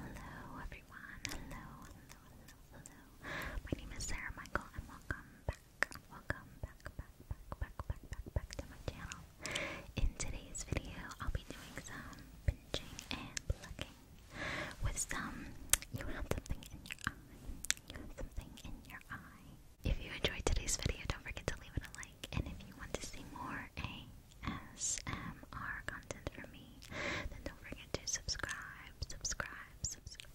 Hello everyone, hello, hello, hello, hello. My name is Sarah Michael and welcome back, welcome back, back, back, back, back, back, back to my channel. In today's video, I'll be doing some pinching and plucking with some, you have something in your eye, you have something in your eye. If you enjoyed today's video, don't forget to leave it a like, and if you want to see more, a ASMR content from me, then don't forget to subscribe, subscribe, subscribe.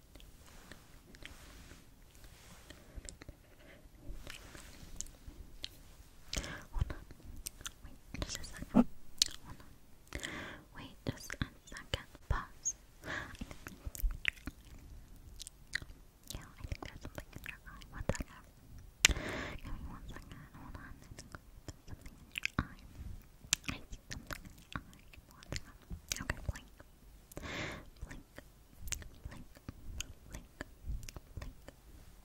Hold on. Wait just a second. Hold on. Wait just a second. Pause. Yeah, I think there's something in your eye. One second. Give me one second. Hold on. something in your eye. something in your eye. One second. Okay, blink. Blink, blink, blink, blink,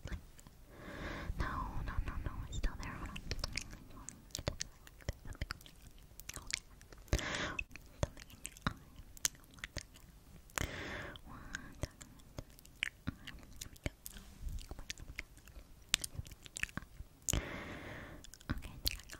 blink. No, no, no, no, it's still there. Hold on. Something in your eye. One second. One second. Okay, there I go.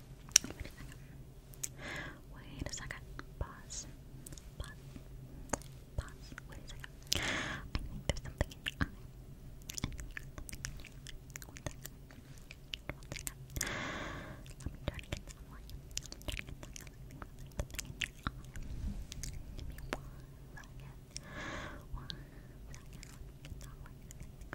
Wait a second. Wait a second. Pause. Pause. Pause. Wait a second. I think there's something in your eye. One second. One second. Let me try to get some light. Let me try to get some light. Something in your eye. Give me one second. One second. Let me get some light.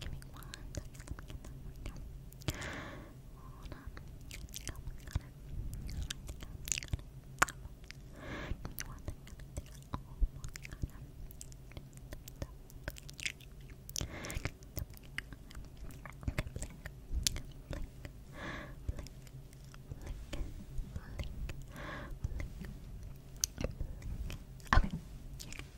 Give me one Hold on. I think I Give me one second.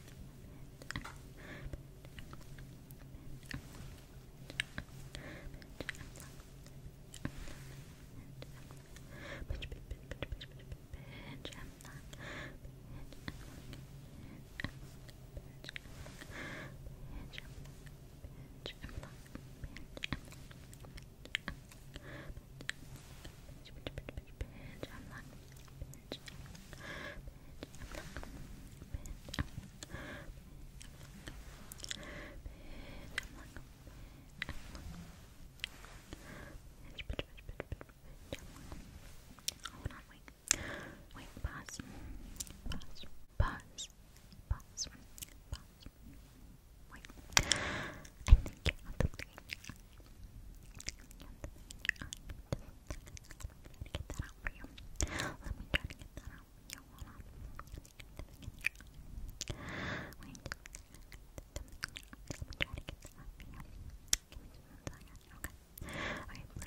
I'm not Bitch. wait. pause. Pause. Pause. Pause. Wait. you get you. Let me try to get that out for you. Let me try to get that out Let me get that get that one. Let me get that get that one. Let me get that one. Let me get that one. Let me get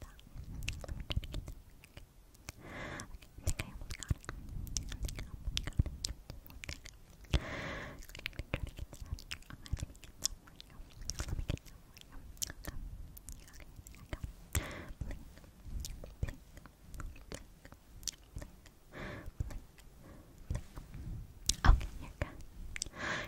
that. Okay, I think I almost got it. I think I almost got it. Okay. I'm try to get that. Oh, let me get that one. Let me get that one. Okay. Okay, there I go. Blink, blink, blink, blink, blink, blink. Okay, you're good.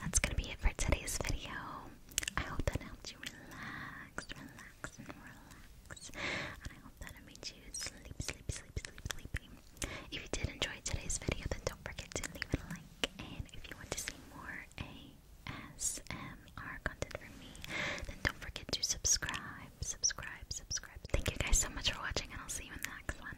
that's gonna be it for today's video. I hope that helped you relax, relax, and relax. And I hope that it made you sleep, sleep, sleep, sleep, sleepy. If you did enjoy today's video, then don't forget to leave a like. And if you want to see more ASMR content from me, then don't forget to subscribe, subscribe, subscribe. Thank you guys so much for watching, and I'll see you in the next one.